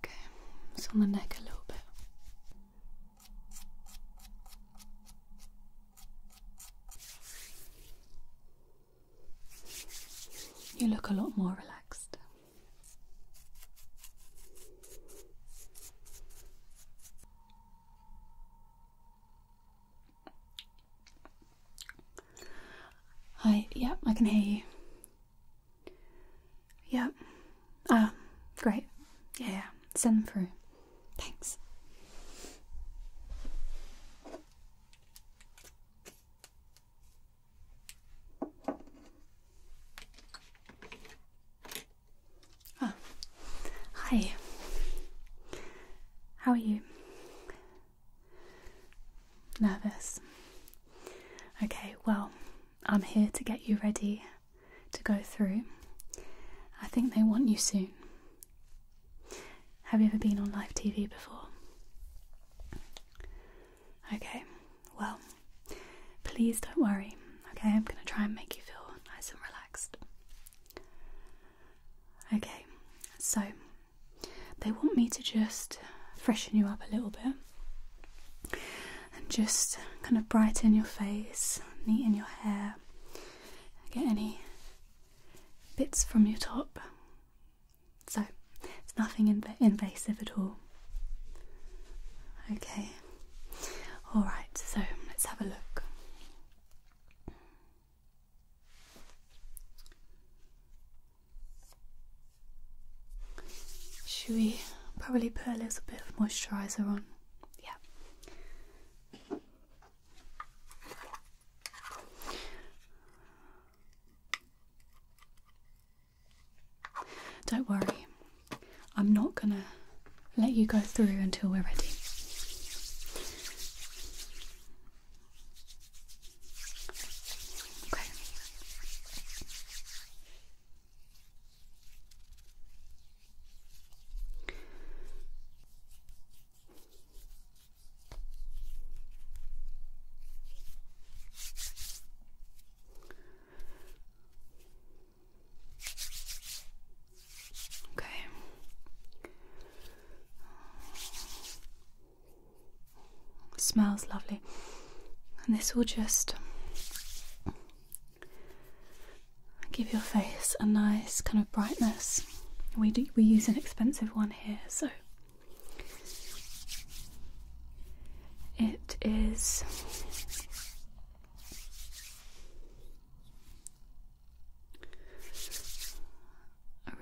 Okay, it's on the neck a little bit. You look a lot more relaxed. Hi, yep, yeah, I can hear you. Yep. Yeah. Ah, great. Yeah, yeah, send them through. Thanks hi. How are you? Nervous. Okay, well, I'm here to get you ready to go through. I think they want you soon. Have you ever been on live TV before? Okay, well, please don't worry. Okay, I'm gonna try and make you feel nice and relaxed. Okay, so they want me to just freshen you up a little bit and just kind of brighten your face, neaten your hair, get any bits from your top. So it's nothing invasive at all. Okay. All right, so let's have a look. Should we probably put a little bit of moisturiser on? Yeah. Don't worry, I'm not gonna let you go through until we're ready. Okay. Okay. Smells lovely. And this will just give your face a nice kind of brightness. We we use an expensive one here, so it is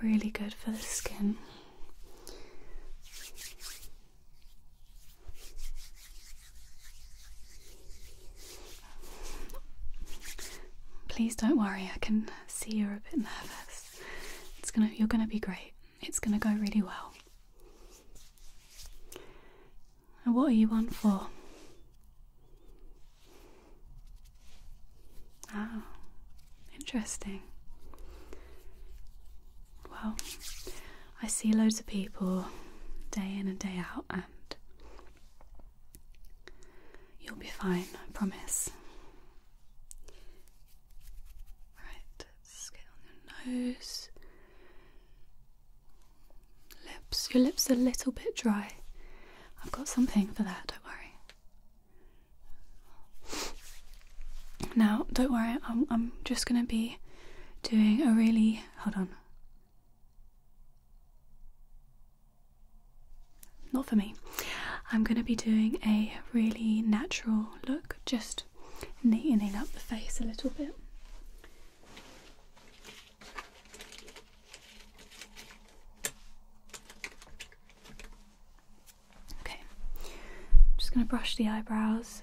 really good for the skin. Please don't worry, I can see you're a bit nervous. It's gonna you're gonna be great. It's gonna go really well. And what are you on for? Ah, interesting. Well, I see loads of people day in and day out, and you'll be fine, I promise. Right. Skin, on your nose. Lips. Your lips are a little bit dry. I've got something for that, don't worry. Now, don't worry, I'm just going to be doing a really. Hold on. Not for me. I'm going to be doing a really natural look, just just up the face a little bit. Okay, I'm just going to brush the eyebrows.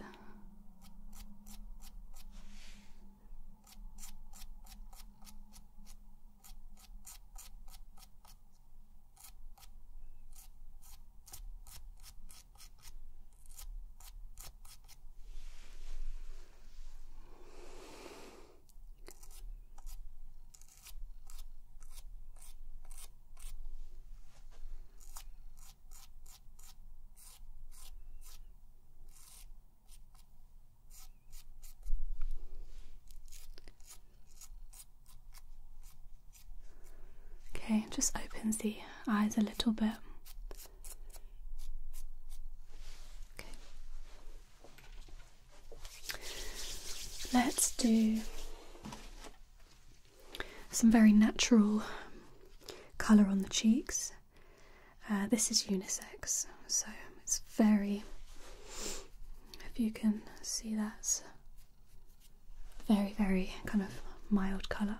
Okay, just opens the eyes a little bit. Okay. Let's do some very natural colour on the cheeks. Uh, this is unisex, so it's very, if you can see that's very, very kind of mild colour.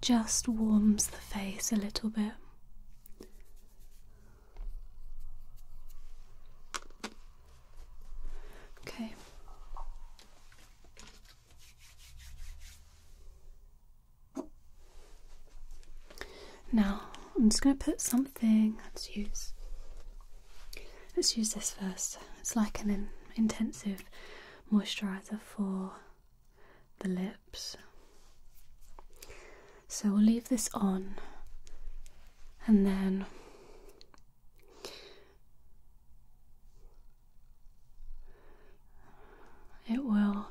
Just warms the face a little bit. Okay. Now, I'm just going to put some Let's use let's use this first. It's like an intensive moisturizer for the lips. So we'll leave this on and then it will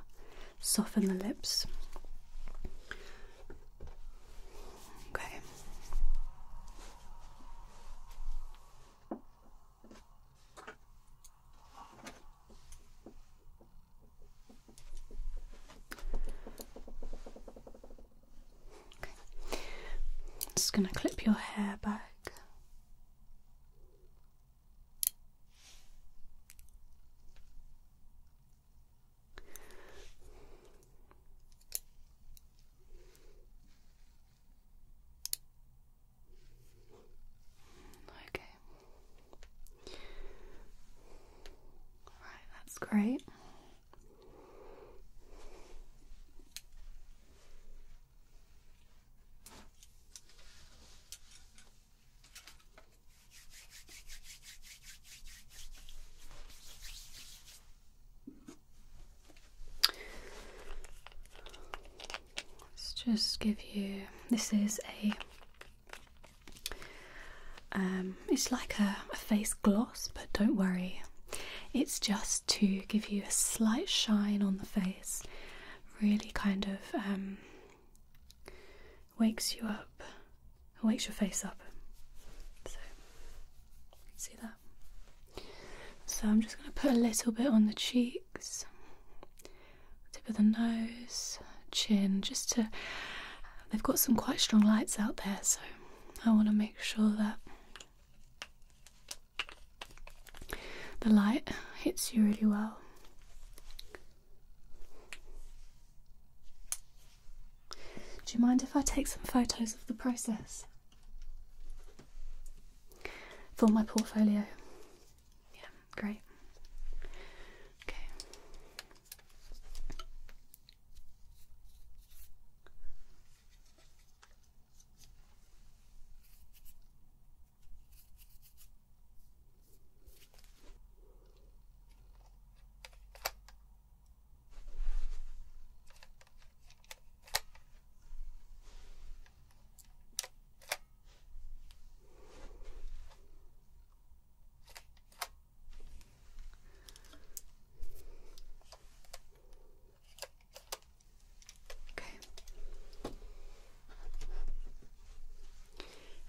soften the lips. Okay. Just going to clip your hair back. Okay. Right, that's great. Let's just give you this is a um, it's like a, face gloss, but don't worry, it's just to give you a slight shine on the face, really kind of um, wakes you up, wakes your face up. See that? So I'm just going to put a little bit on the cheeks, tip of the nose, chin, just to. They've got some quite strong lights out there, so I want to make sure that the light hits you really well. Do you mind if I take some photos of the process? for my portfolio. Yeah, great. Okay.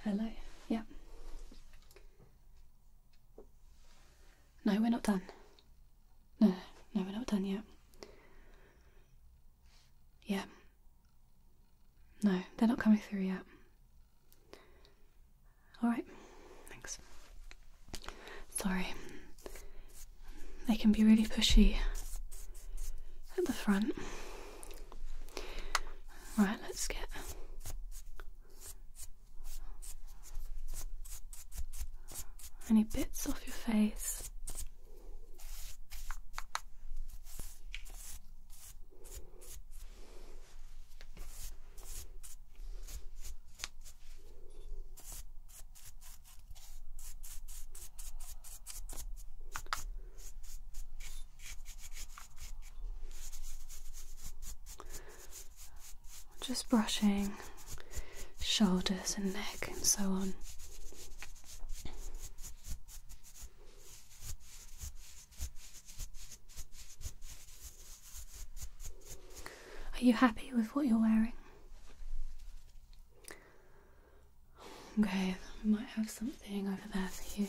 Hello. Yeah. No, we're not done. No, no, we're not done yet. Yeah. No, they're not coming through yet. Alright, thanks. Sorry. They can be really pushy at the front. Right, let's get any bits off your face? Just brushing shoulders and neck and so on. Are you happy with what you're wearing? Okay, I might have something over there for you.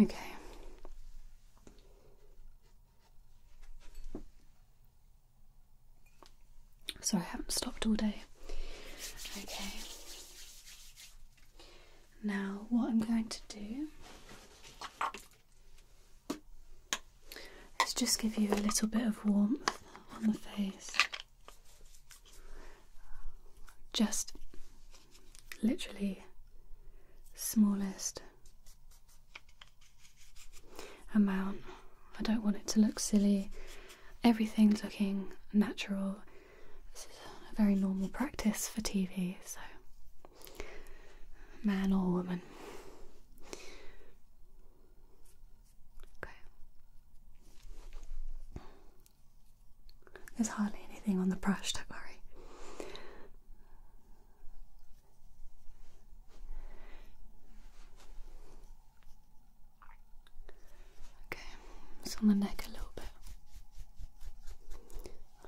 Okay. So I haven't stopped all day. Okay. Now, what I'm going to do Let's just give you a little bit of warmth on the face. Just literally smallest amount. I don't want it to look silly. Everything's looking natural. This is a very normal practice for TV, so man or woman. Okay. There's hardly anything on the brush, don't worry. Okay, it's on the neck a little bit.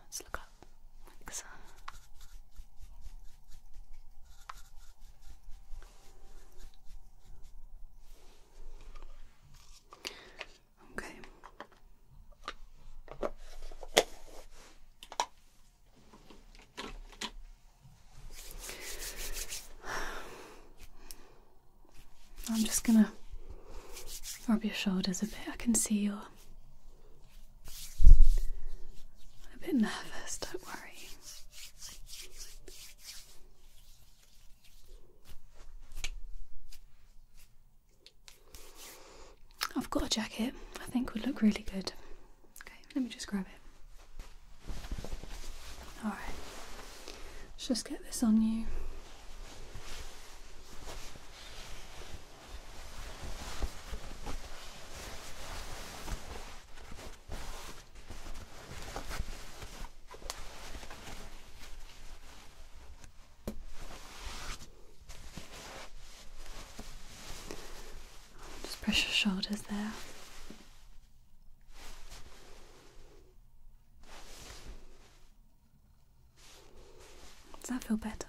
Let's look up. Okay. I'm just gonna rub your shoulders a bit. I can see you I'm a bit nervous, don't worry. I've got a jacket I think would look really good. Okay, let me just grab it. Alright, let's just get this on you. Just press your shoulders there. Does that feel better?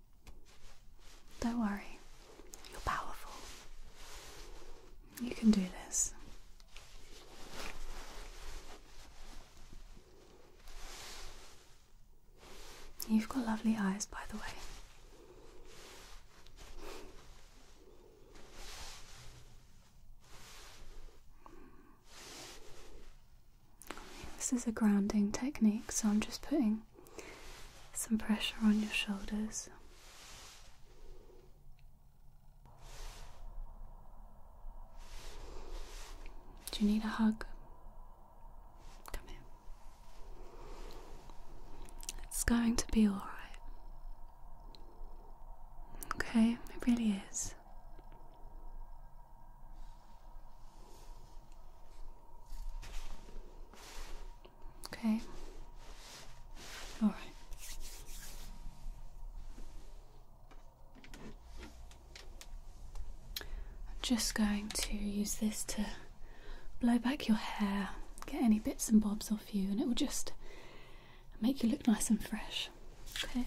Don't worry, you're powerful. You can do this. You've got lovely eyes, by the way. This is a grounding technique, so I'm just putting some pressure on your shoulders. Do you need a hug? Come here. It's going to be alright. Okay, it really is. Okay. All right. I'm just going to use this to blow back your hair, get any bits and bobs off you, and it will just make you look nice and fresh. Okay.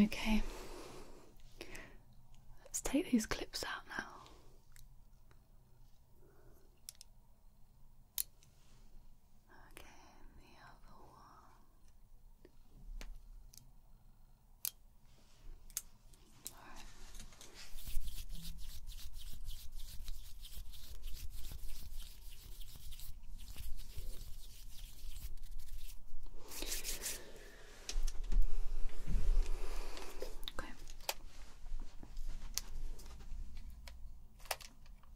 Okay, let's take these clips out now. Okay, the other one. All right. Okay.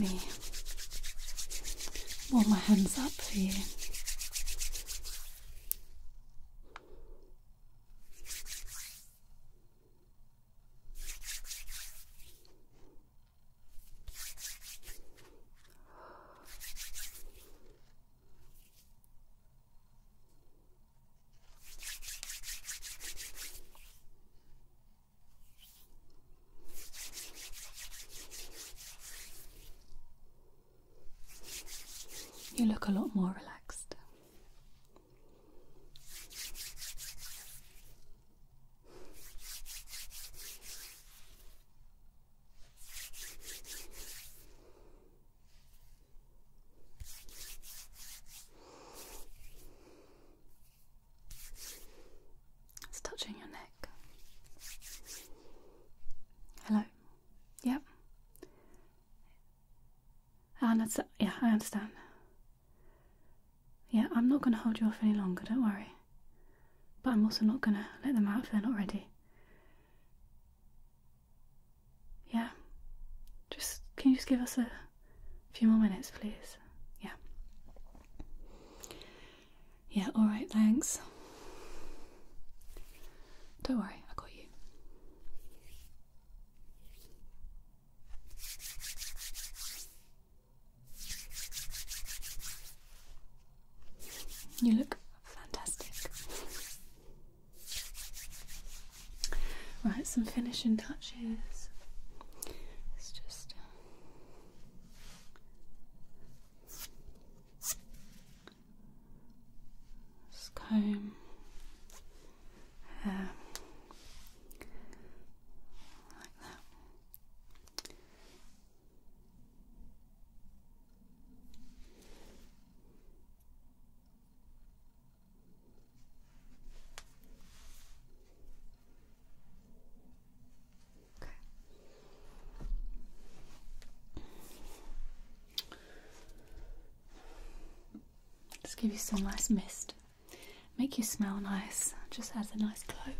Let me warm my hands up for you look a lot more relaxed. It's touching your neck. Hello. Yep. And it's, yeah, I understand. Yeah, I'm not going to hold you off any longer, don't worry. But I'm also not going to let them out if they're not ready. Yeah, just can you just give us a few more minutes, please? Yeah. Yeah, alright, thanks. Don't worry, I got you. You look fantastic. Right, some finishing touches. It's just. Uh, just comb hair like that. Let's give you some nice mist make you smell nice, just adds a nice glow.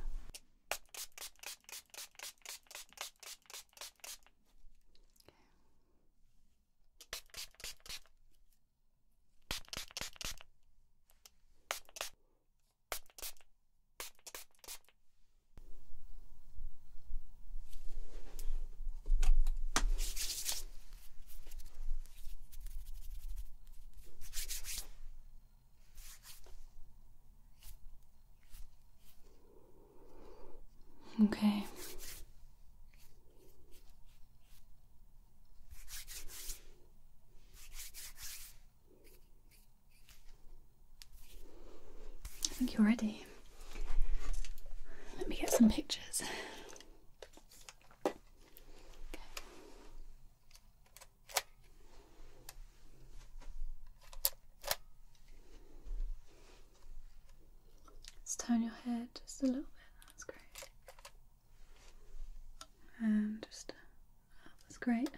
Okay. I think you're ready. Let me get some pictures. Just turn your head just a little bit, that's great. And just up, that's great.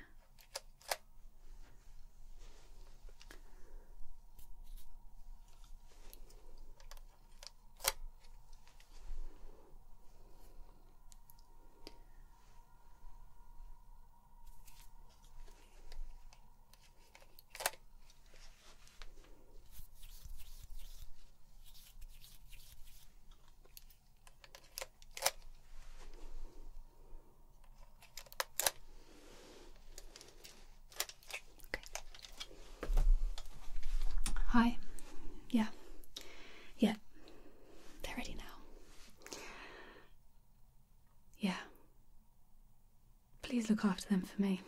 Hi. Yeah. Yeah. They're ready now. Yeah. Please look after them for me.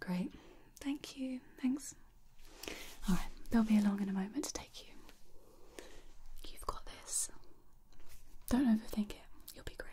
Great. Thank you. Thanks. Alright, they'll be along in a moment to take you. You've got this. Don't overthink it. You'll be great.